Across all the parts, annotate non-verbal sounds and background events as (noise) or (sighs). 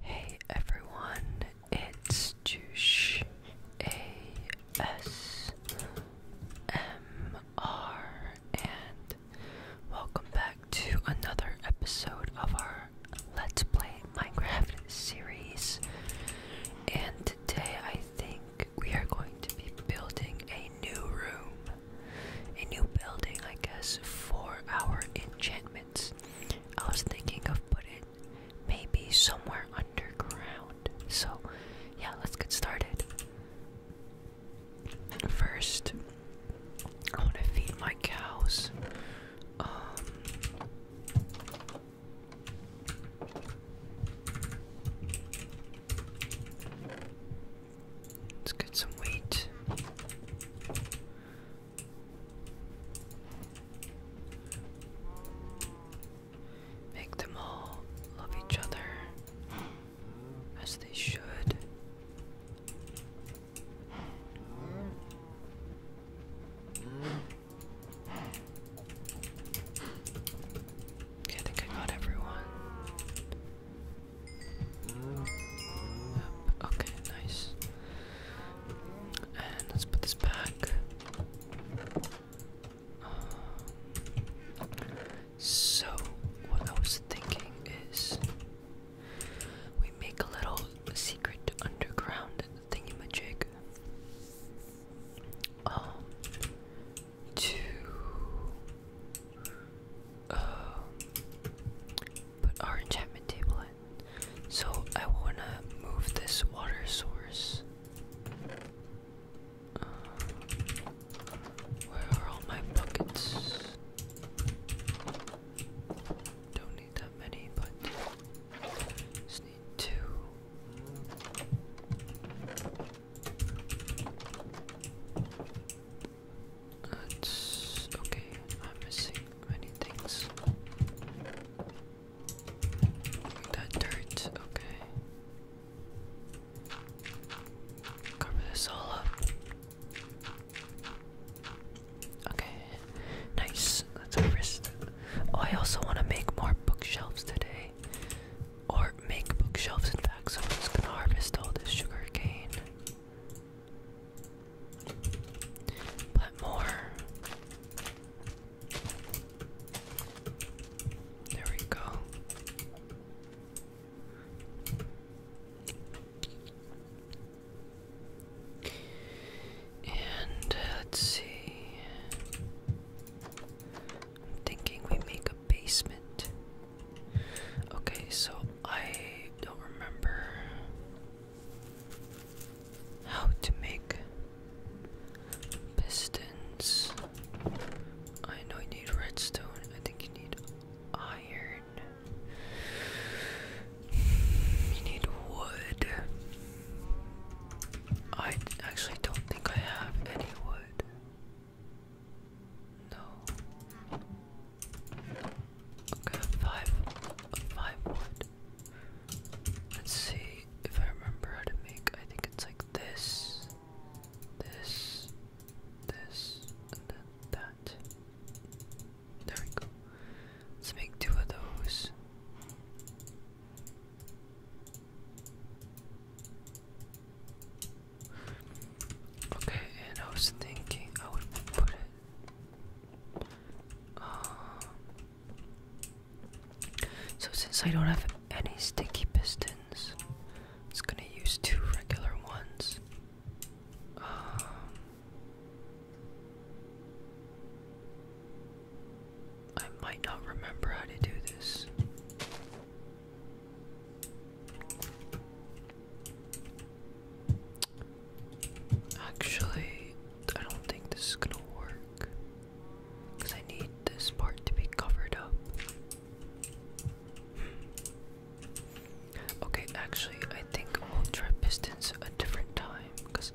Hey everyone, it's Jush ASMR and welcome back to another episode of our Let's Play Minecraft series. And today I think we are going to be building a new room, a new building, I guess, for our enchantment I was thinking of putting maybe somewhere underground. So, yeah, let's get started. First, I want to feed my cows. Um, let's get some wheat. Make them all love each other as they should. I think I got everyone. Yep. Okay, nice let's put this back. so, what I was thinking is we make a little secret underground thingamajig um, to. Uh, put our enchantment table in. So I wanna move this water source. Uh, where are all my buckets? Don't need that many, but just need two. That's okay. I'm missing many things. That dirt, okay. Cover this all up. Okay, nice. Let's harvest. Oh, I also want to make more bookshelves today. Or make bookshelves, in fact, so I'm just gonna harvest all this sugar cane. But more. There we go. And uh, let's see. I'm thinking we make a basement. Okay, so I don't remember. How to make pistons. I know you need redstone. I think you need iron. You need wood. I actually don't think I have any wood. No. Okay, five, Let's see if I remember how to make. I think it's like this, this, this, and then that. There we go. Let's make two of those. Okay, and I was thinking I would put it uh, so since I don't have any sticky pistons, I'm gonna use two regular ones. Um, I might not remember how to do this. Actually, I don't think this is gonna work. Because I need this part to be covered up. Hmm. Okay, actually, I think we'll try pistons a different time. Because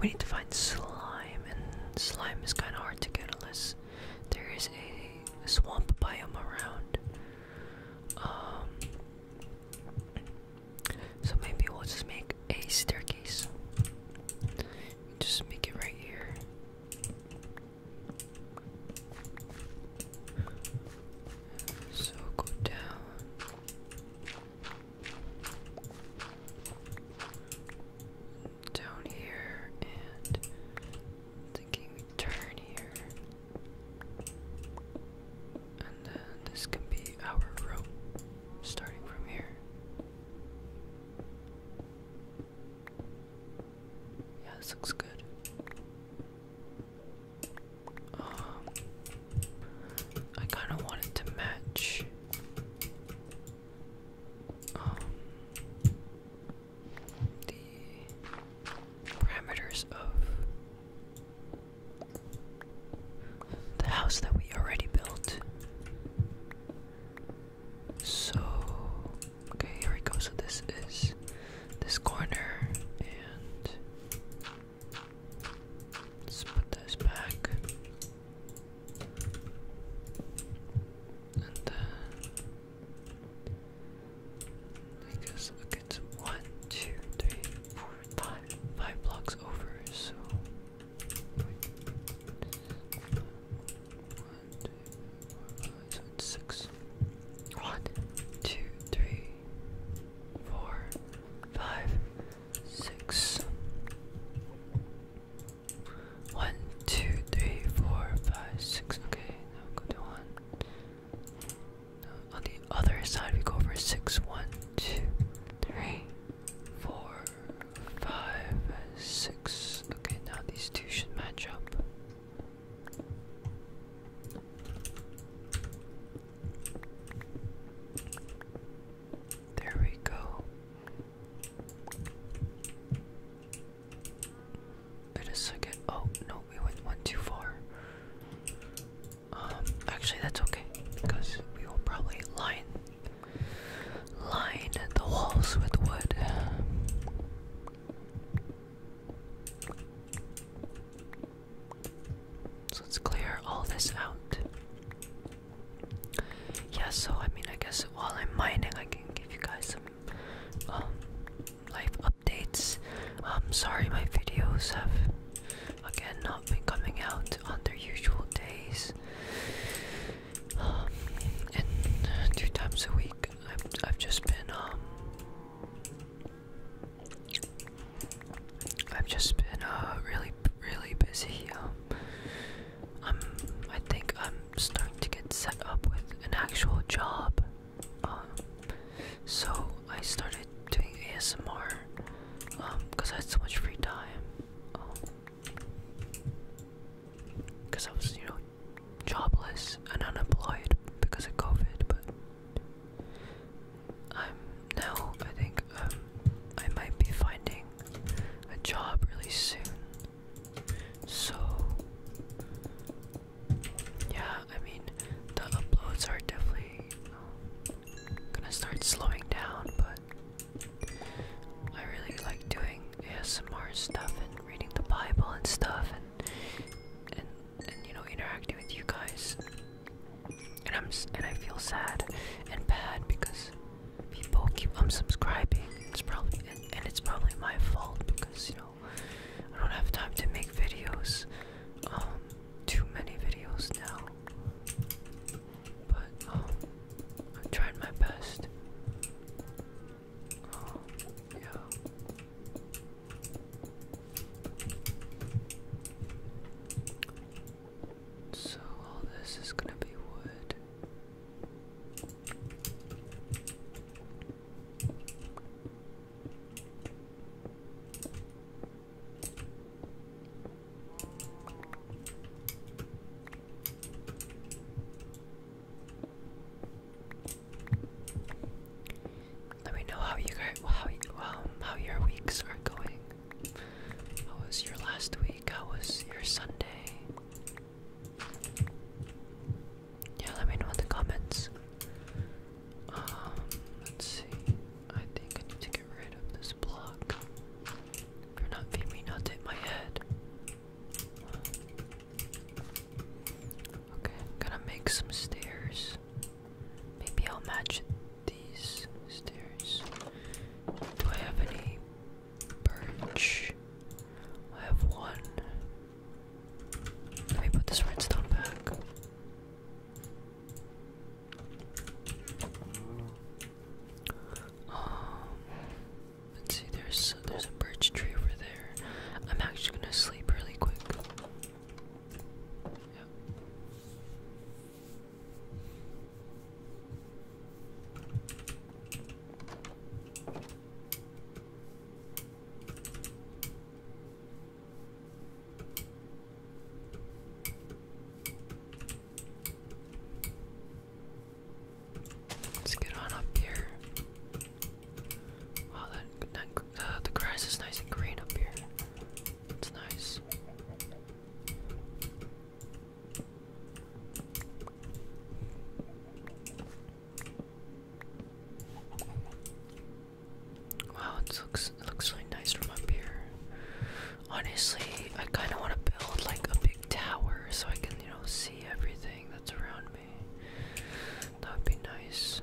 we need to find slime, and slime is kind of hard to get unless there is a swamp biome around. Um, so maybe we'll just make a staircase. Just make it right here. So go down. Down here and thinking we turn here. And then this can be our room starting from here. Yeah, this looks good. Um, I kind of want to match. Um, the parameters of the house that we already built. So, okay, here we go. So, this is this corner, and let's put this back. And then I four, five, five blocks over, so four, five, six. One, two, three, four, five, six. Okay, now go to one on the other side we go for six one two three four five six okay now these two should match up there we go wait a second oh no we went one too far um, actually, that's okay because we will probably line line the walls with wood. So let's clear all this out. Yeah, so I mean, I guess while I'm mining, I can give you guys some um, life updates. I'm um, sorry my videos have again not been coming out on their usual days. Um, and two times a week, I've, just been, um, I've just been, uh, really, really busy, um, I'm, I think I'm starting to get set up with an actual job, um, so I started doing ASMR um because I had so much free time um because I was you know jobless and unemployed because of COVID but I'm now I think um I might be finding a job really soon so yeah I mean, the uploads are definitely gonna start slowing down, but I really like doing ASMR stuff and reading the Bible and stuff, and and you know interacting with you guys. And I'm and I feel sad and bad because people keep unsubscribing. It's probably and, and it's probably my fault because you know I don't have time to make videos. Um, too many videos now. But oh, i tried my best. Oh, so all this is gonna be wood. Let me know how you guys, how um, how your weeks are going. How was your last week? How was your Sunday? Yeah, let me know in the comments. Um, let's see. I think I need to get rid of this block. You're not feeding me nuts hit my head. Okay, going to make some stairs. Maybe I'll match these stairs. Do I have any birch? I have one. Let me put this redstone back. Um, let's see. There's there's a birch tree over there. I'm actually gonna sleep really quick. Let's get on up here. Wow, that, that uh, the grass is nice and green up here. It's nice. Wow, it looks it looks really nice from up here. Honestly, I kind of want to build like a big tower so I can, you know, see everything that's around me. That would be nice.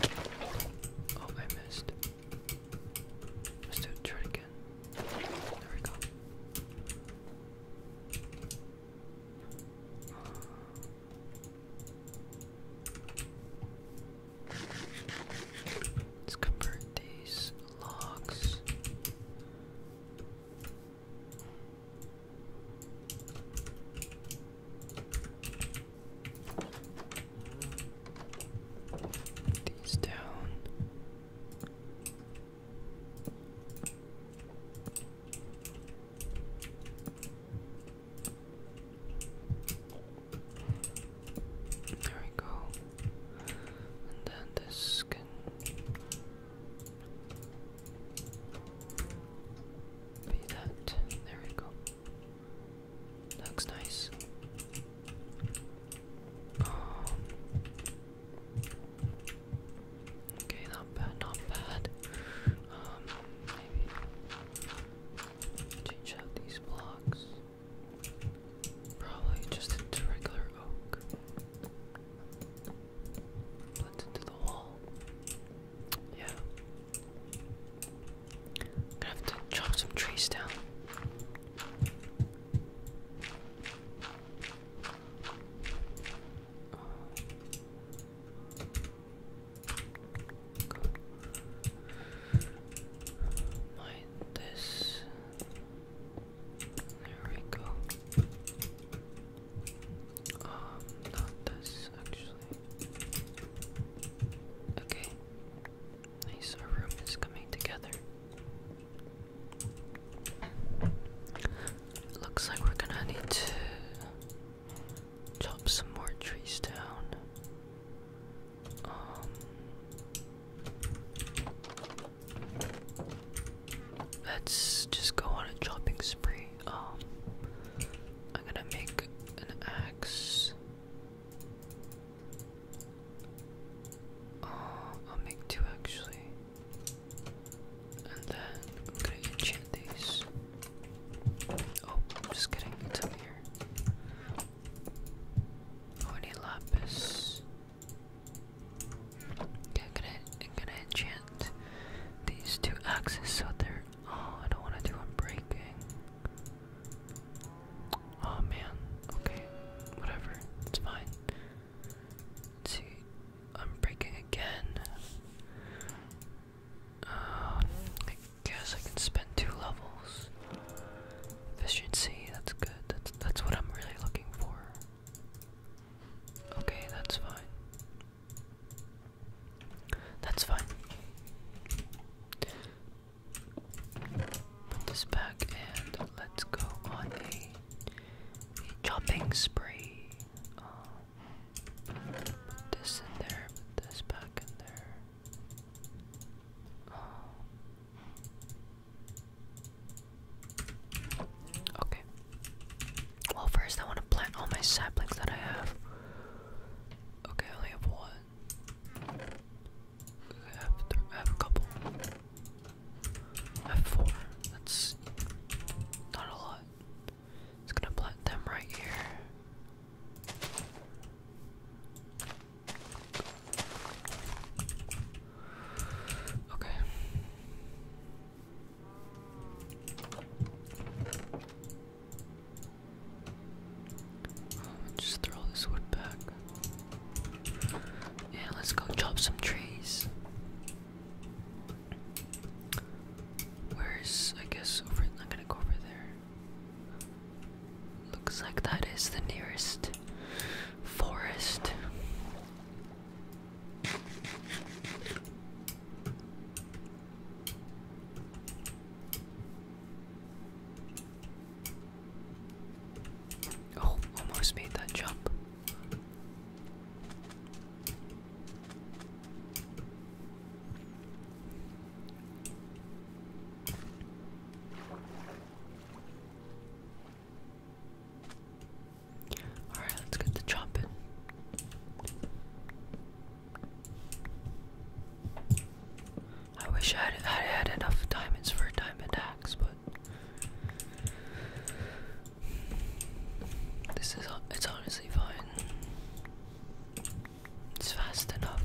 Oh, I missed. Let's try again. There we go. Let's convert these logs. These down. There we go. And then this can be that. There we go. Looks nice. Um, Okay, not bad, not bad. Um, maybe change out these blocks. Probably just into regular oak. Blend into the wall. Yeah. gonna have to chop some trees down. Mind this. There we go. Um, not this actually. Okay. Nice, our room is coming together. Looks like we're gonna need to chop some more trees down. Um, let's just go on a chopping spree. Um, I'm gonna make an axe. Uh, I'll make two actually. And then I'm gonna enchant these. Oh, just getting it's here. Oh, lapis. I'm gonna, I'm gonna enchant these two axes so they're. Oh, I don't wanna do them breaking. Oh man, okay, whatever, it's fine. Let's see, I'm breaking again. Uh, I guess I can spend two levels. Efficiency, that's good. That's that's what I'm really looking for. Okay, that's fine. That's fine put this back and let's go on a, chopping spree. put this in there, put this back in there. okay. Well, first I want to plant all my saplings that I have. Okay, I only have one. I, have I have a couple. F4. That's not a lot. It's gonna plant them right here. Okay. just throw this wood back. Yeah, let's go chop some trees. Where's I guess over I'm gonna go over there. Looks like that is the nearest forest. Oh, almost made that jump. All right, let's get the chopping. I wish I had, had enough diamonds for a diamond axe, but this is it's honestly fine. It's fast enough.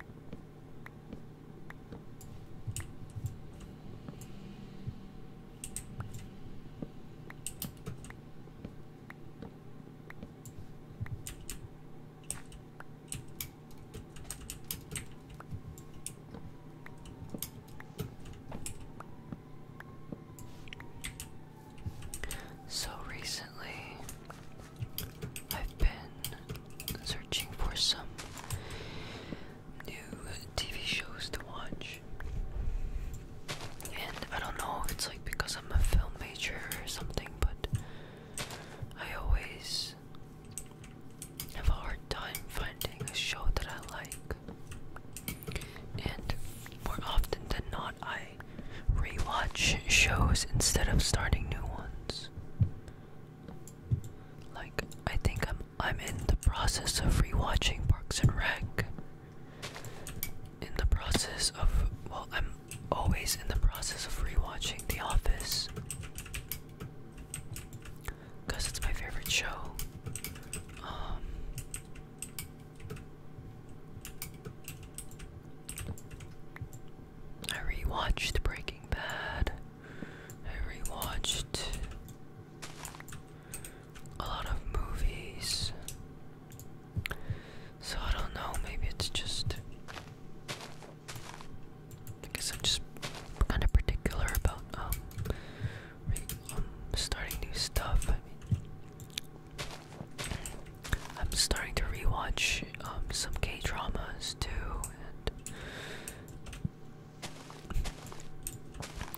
So recently, I've been searching for some new TV shows to watch. And I don't know if it's like because I'm a film major or something, but I always have a hard time finding a show that I like. And more often than not, I I rewatch shows instead of starting new ones. Like I think I'm I'm in the process of rewatching Parks and Rec. In the process of well, I'm always in the process of rewatching The Office. Cause it's my favorite show. Um I rewatched Breaking Bad. I rewatched a lot of movies. So I don't know, maybe it's just. I I'm just kind of particular about um, re um starting new stuff. I'm starting to rewatch um, some K dramas too, and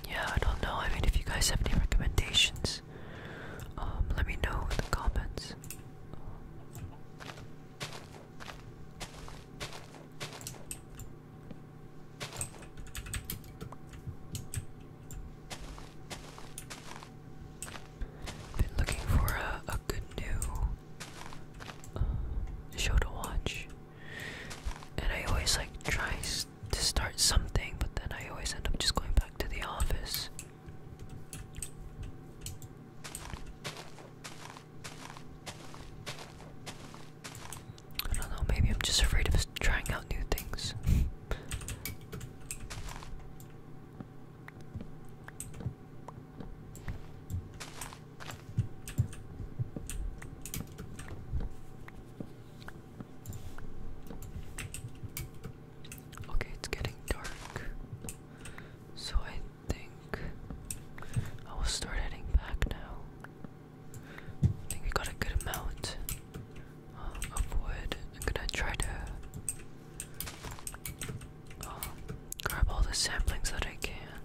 yeah, I don't know. I mean, if you guys have any recommendations, um, let me know in the comments. Been looking for a, good new uh, show to watch, and I always like try to start something, but then I always end up just going back to the office. I don't know, maybe I'm just afraid of trying out new things. Okay, it's getting dark. So I think I will start heading back now. I think we got a good amount uh, of wood. I'm gonna try to grab all the samplings that I can.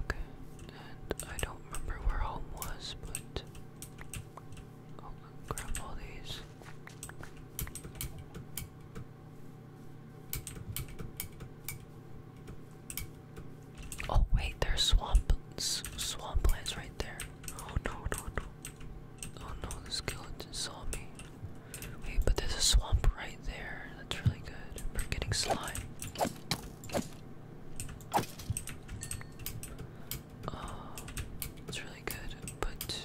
Okay, and I don't remember where home was, but oh, grab all these. Oh wait, there's swamp swamp plants right there. Oh no no no. Oh no, the skeleton saw me. Wait, but there's a swamp right there. That's really good for getting slime. Oh, it's really good, but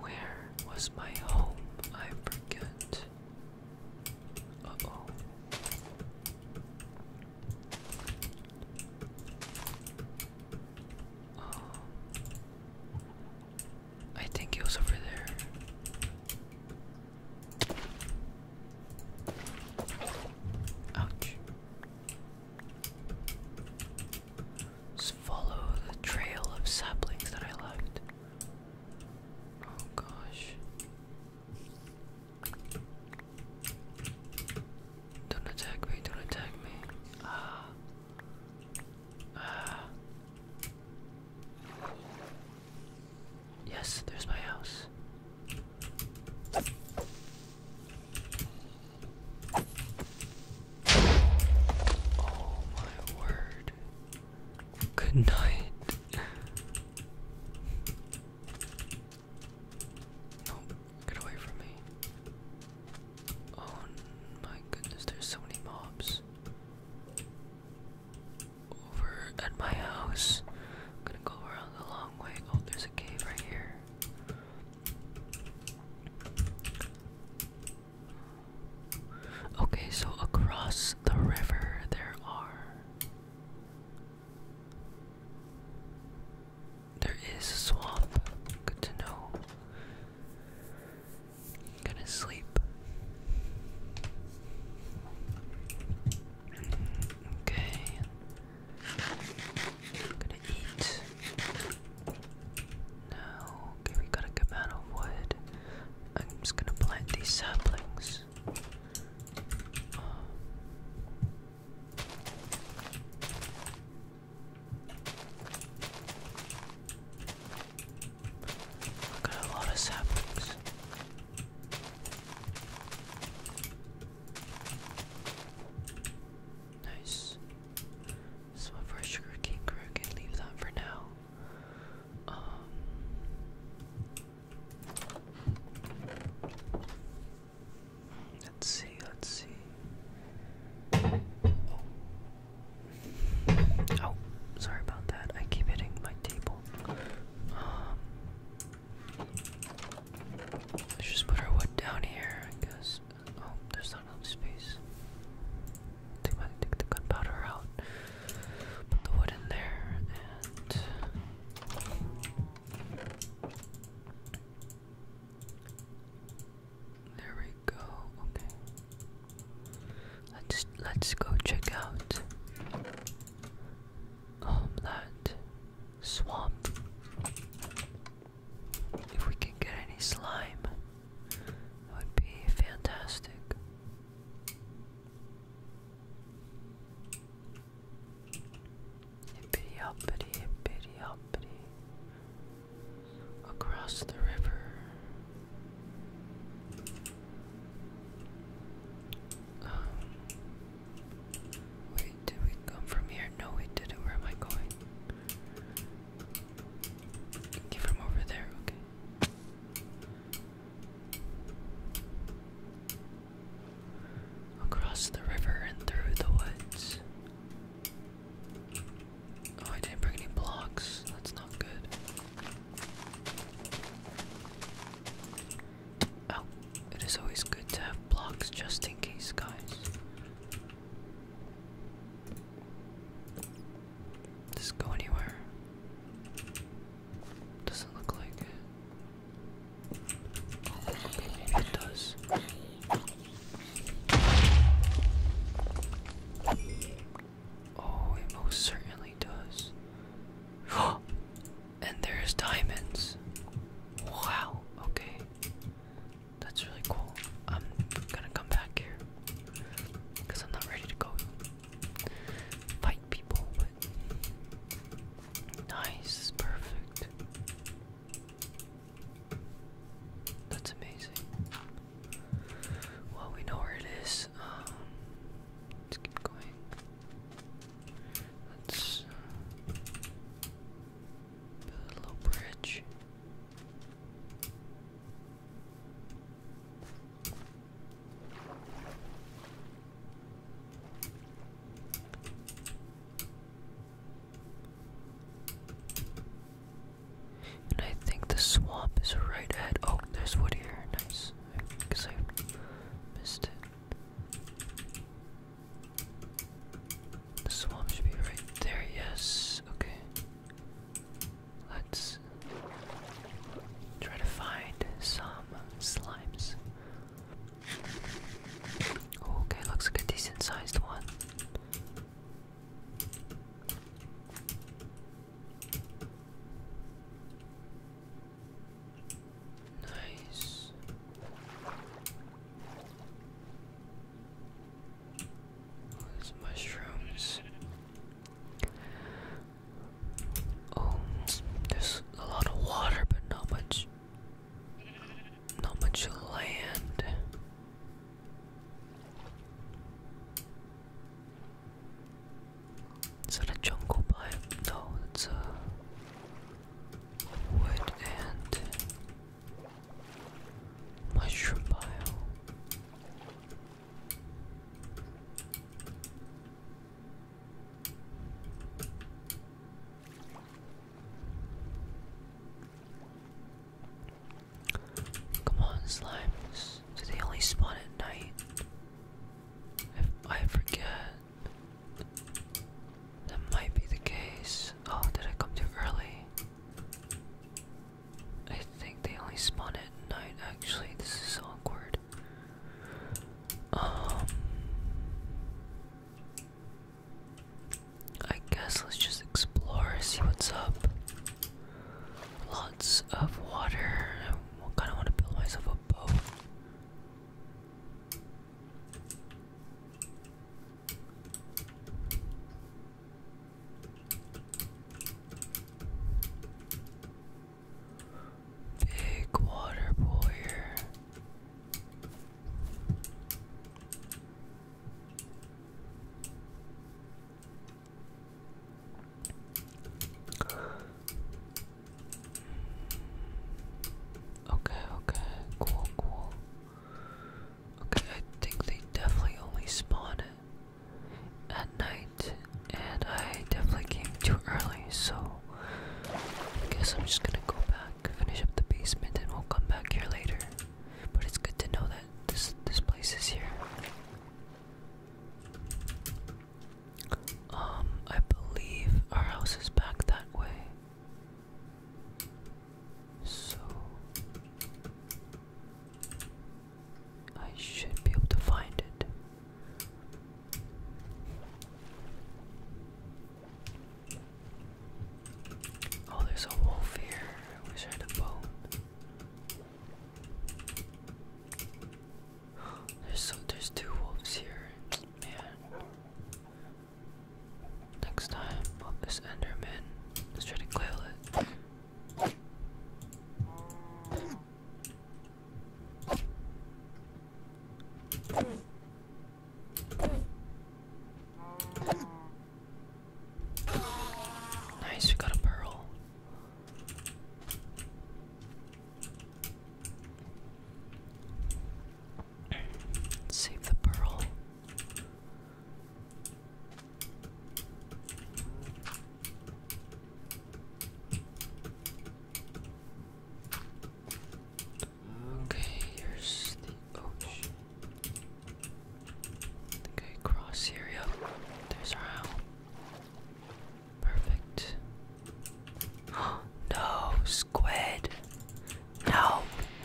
where was my home? I forget. oh. Um, I think it was over there. Ouch. Just follow the trail of saplings that I left. Oh gosh. Don't attack me, don't attack me. Ah. Uh, yes, there's my house. Oh my word. Good night. Nope, get away from me. Oh my goodness, there's so many mobs. Over at my house. gonna go around the long way. Oh, there's a cave right here. Okay, so across the river there are. There is a swamp. Good to know. gonna sleep. Okay. gonna eat. Now, okay, we gotta come out of wood. I'm just gonna plant these saplings got a lot of saplings. Nice. So for sugar cane crew, leave that for now. Um, Let's see, let's see. Oh. sorry about that. I keep hitting my table. Um, let's just put our wood down here, I guess. Oh, there's not enough space. I think take the gunpowder out. Put the wood in there and. There we go. Okay. Let's let's go check out um, that swamp. If we can get any slime, that would be fantastic. Hippity hoppity, hippity hoppity across the river. Um, wait, did we come from here? No, we didn't. Where am I going? from over there, okay. Across the river and through the woods. Oh, I didn't bring any blocks. That's not good. Oh, it is always good to have blocks just in case, guys. Does go anywhere? Doesn't look like maybe it does. Oh, it most certainly does. (gasps) and there's diamonds. Wow, okay. That's really cool. I'm gonna come back here. Because I'm not ready to go fight people, Nice, perfect. That's amazing. Well, we know where it is. Um, let's keep going. Let's uh, build a little bridge. And I think the swamp is right at. Oh, there's wood here. Nice. Because I, missed it. The swamp should be right there. Yes. Okay. Let's try to find some slimes. Okay, looks like a decent sized one. Nice. Oh, mushrooms. Oh, there's a lot of water, but not much not much land. Is that a jungle biome? No, it's a wood mushroom biome. Come on, slimes. Do they only spawn at night? I, I forget. That might be the case. Oh, did I come too early? I think they only spawn at night, actually. This is awkward. Um. I guess let's just explore, see what's up. Lots of water. I kind of want to build myself a boat. Big water boy here. Okay, okay, cool, cool. Okay, I think they definitely only spawn it at night, and I definitely came too early, so I guess I'm just gonna go back, finish up the basement, and we'll come back here later. But it's good to know that this this place is here. Um, I believe our house is back that way. So I should be able to find it. Oh, there's a wolf here. I wish I had a bone. (gasps) There's so there's two wolves here. Man. Next time, oh, this Enderman. Let's try to kill it. Nice, we got a pearl. Save the pearl. Okay, here's the ocean. Okay, cross here, yep. There's our owl. Perfect. (gasps) no, squid. No.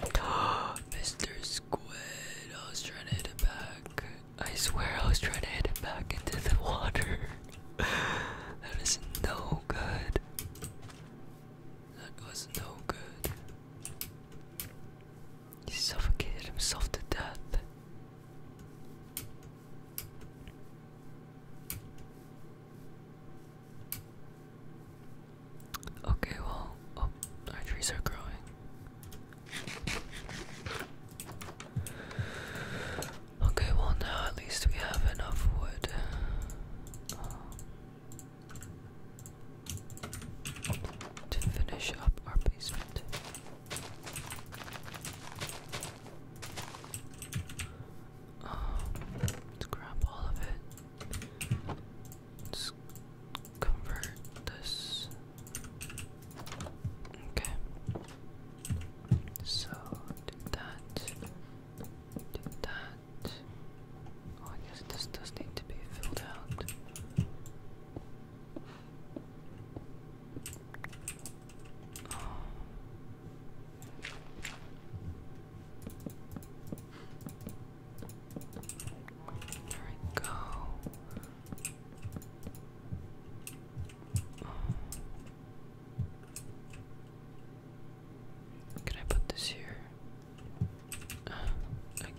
(gasps) Mr. Squid, I was trying to hit it back. I swear I was trying to hit it back into the (laughs) water. (laughs) that is no good. That was no good. He suffocated himself to death. Okay, well, oh, our trees are growing. Okay, well, now at least we have enough wood to finish up our basement. Um, let all of it. convert this. Okay. So do that. Do that. Oh, I guess this does need to be filled out. There we go. Can I put this here? Uh,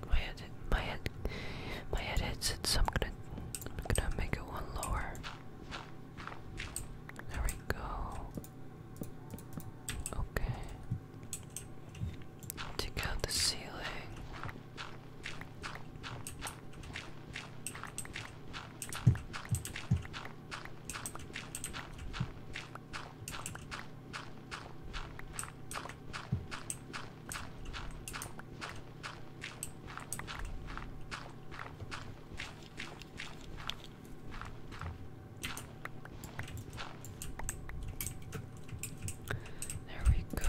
my head, my head, my head hits it. So I'm gonna, I'm gonna make it one lower. There we go. Okay. Take out the ceiling. There we go.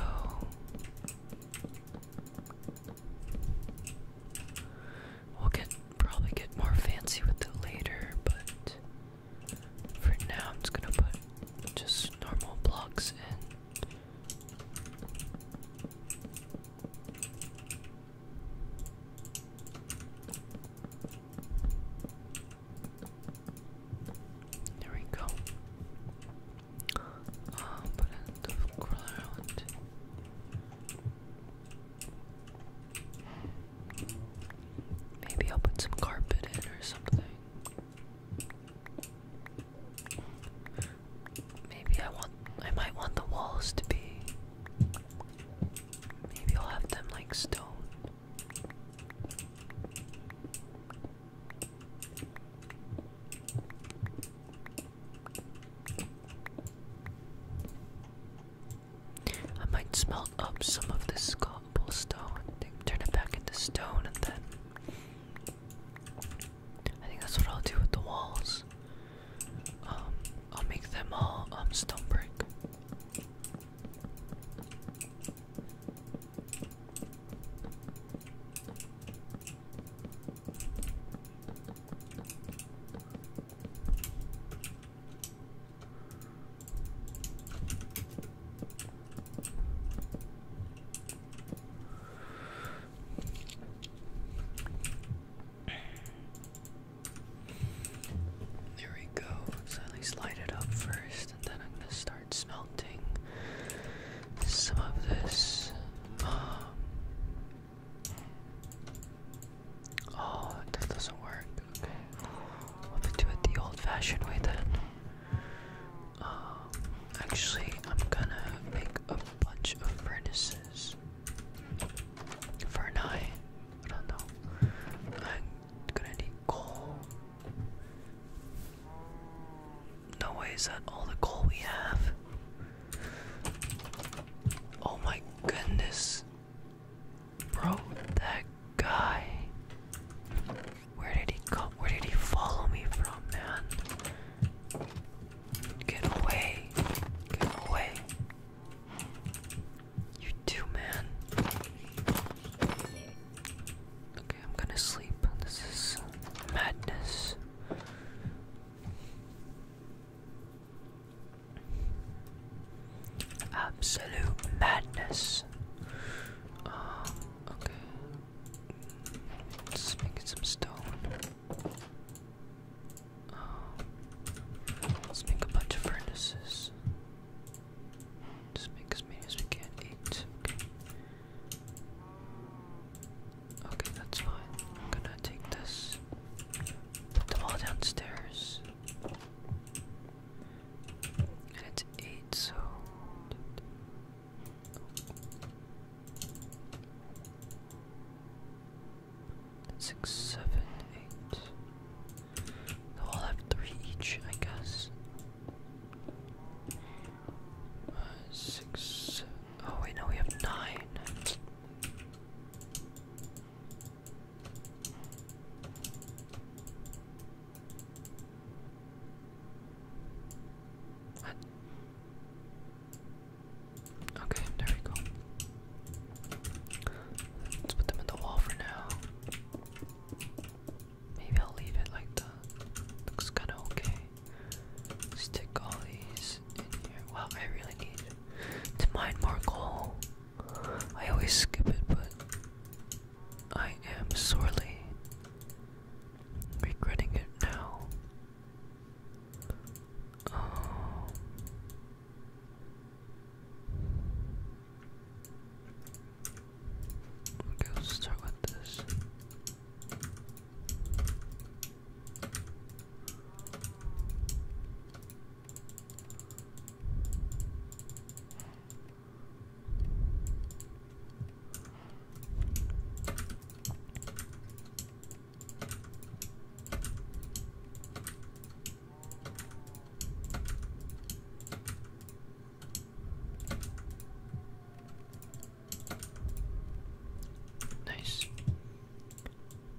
We'll get probably get more fancy with it later, but for now, I'm just gonna put just normal blocks in. There we go. Um, put in the ground. Maybe I'll put some carpet in or something. Maybe I want I might want the walls to be maybe I'll have them like stone. I might smelt up some of this cobblestone, turn it back into stone, and then I think that's what I'll do with the walls. Um, I'll make them all um stone brick. There we go. So at least light it up first, and then I'm gonna start smelting some of this. Um, oh, that doesn't work. Okay. Let's do it the old-fashioned way then. Um, actually, I'm gonna make a bunch of furnaces for I don't know. I'm gonna need coal. No way is that all the coal we have. Oh my goodness. Bro, that guy. Where did he come? Where did he follow me from, man? Get away. Get away. You too, man. Okay, I'm gonna sleep. This is madness. Absolute madness. Ah, okay. Let's make some stone. Um, let's make a bunch of furnaces. Just make as many as we can. Eight. Okay, that's fine. I'm gonna take this. Put them all downstairs. And it's eight, so six, seven, all have three each, I guess. Uh, six, Oh, wait, no, we have nine. Okay, there we go. Let's put them in the wall for now. Maybe I'll leave it like that. Looks kinda okay. Stick all these in here. Wow, I really need to mine more coal. I always skip it, but I am sorely regretting it now. Um, okay, let's start with this. Nice.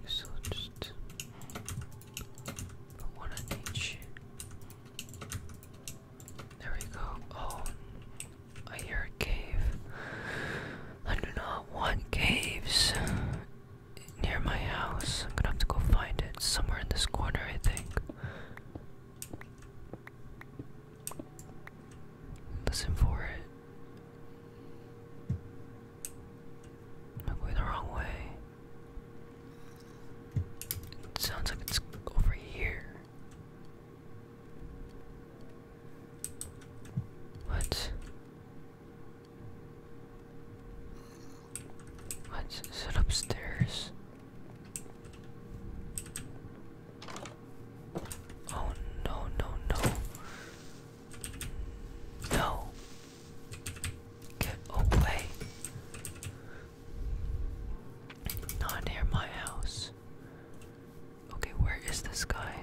So but one on There we go. Oh, I hear a cave. I do not want caves near my house. I'm gonna have to go find it somewhere in this corner, I think. Listen for it. I'm it sounds like it's over here. What? What? Is it upstairs? Oh no, no, no. No. Get away. Not near my house. Okay, where is this guy?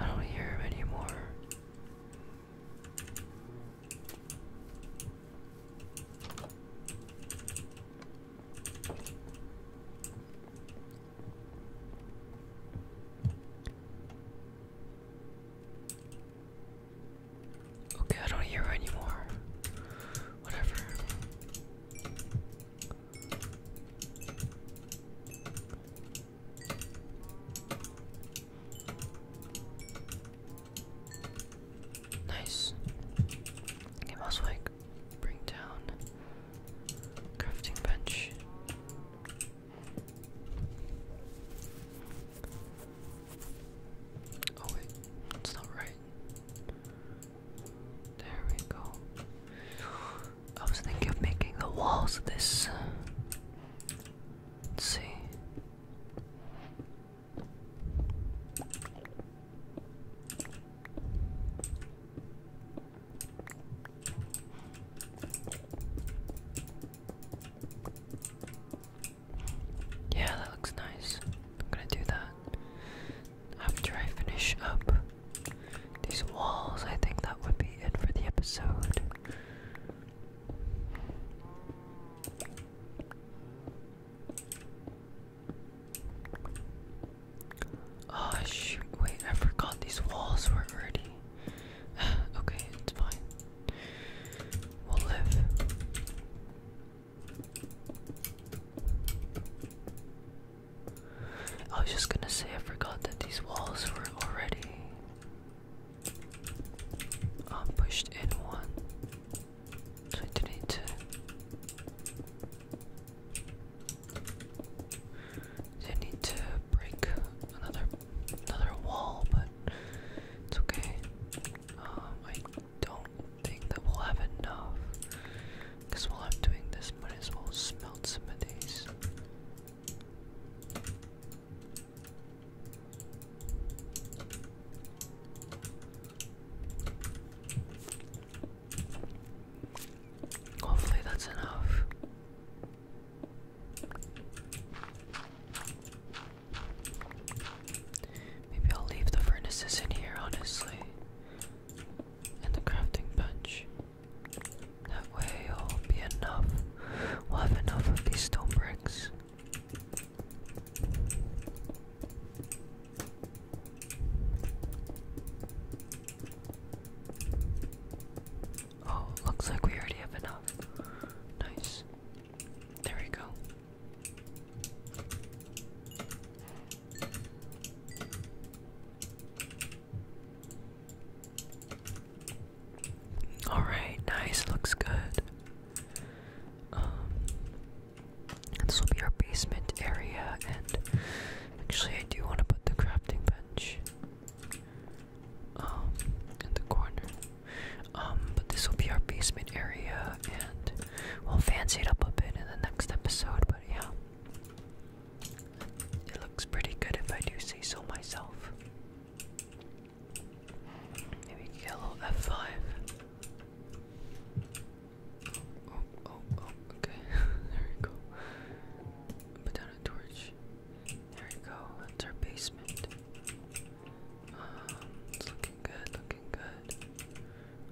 I don't hear him anymore. Okay, I don't hear anymore. Whatever. Nice. Okay, mouse wake block. Bring down crafting bench. Oh wait, it's not right. There we go. I was thinking of making the walls this. Let's see. Yeah, that looks nice. I'm gonna do that after I finish up these walls. I think that would be it for the episode. Oh shoot, wait, I forgot these walls were already. (sighs) okay, it's fine. We'll live. I was just gonna say, I forgot that these walls were already um, pushed in one. I need to break another another wall, but it's okay. Um, I don't think that we'll have enough. Because while I'm doing this, might as well smelt some of these. Hopefully that's enough. Maybe I'll leave the furnaces in here, honestly, and the crafting bench. That way it'll be enough. We'll have enough of these stone bricks. Oh, looks like we already have enough. Nice. There we go. Alright, nice, looks good. Um, this will be our basement area, and actually, I do want to put the crafting bench um in the corner. Um, but this will be our basement area, and we'll fancy it up a bit in the next episode. But yeah, it looks pretty good if I do say so myself. Maybe get a little F5. Oh, oh, oh, okay. (laughs) there we go. Put down a torch. There we go. That's our basement. Um, it's looking good, looking good.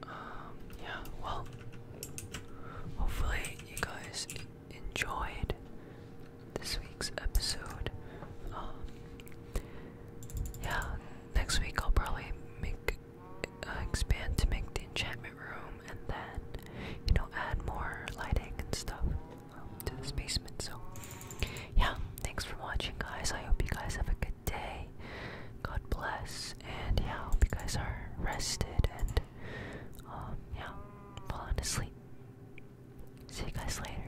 Um, yeah, well, hopefully you guys enjoyed this week's episode. Um, yeah, next week I'll probably make uh, expand to make the enchantment room and then, you know, add more lighting and stuff um, to the basement. So, yeah, thanks for watching, guys. I hope you guys have a good day. God bless. And yeah, I hope you guys are rested and, um, yeah, falling asleep. See you guys later.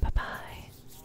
Bye bye.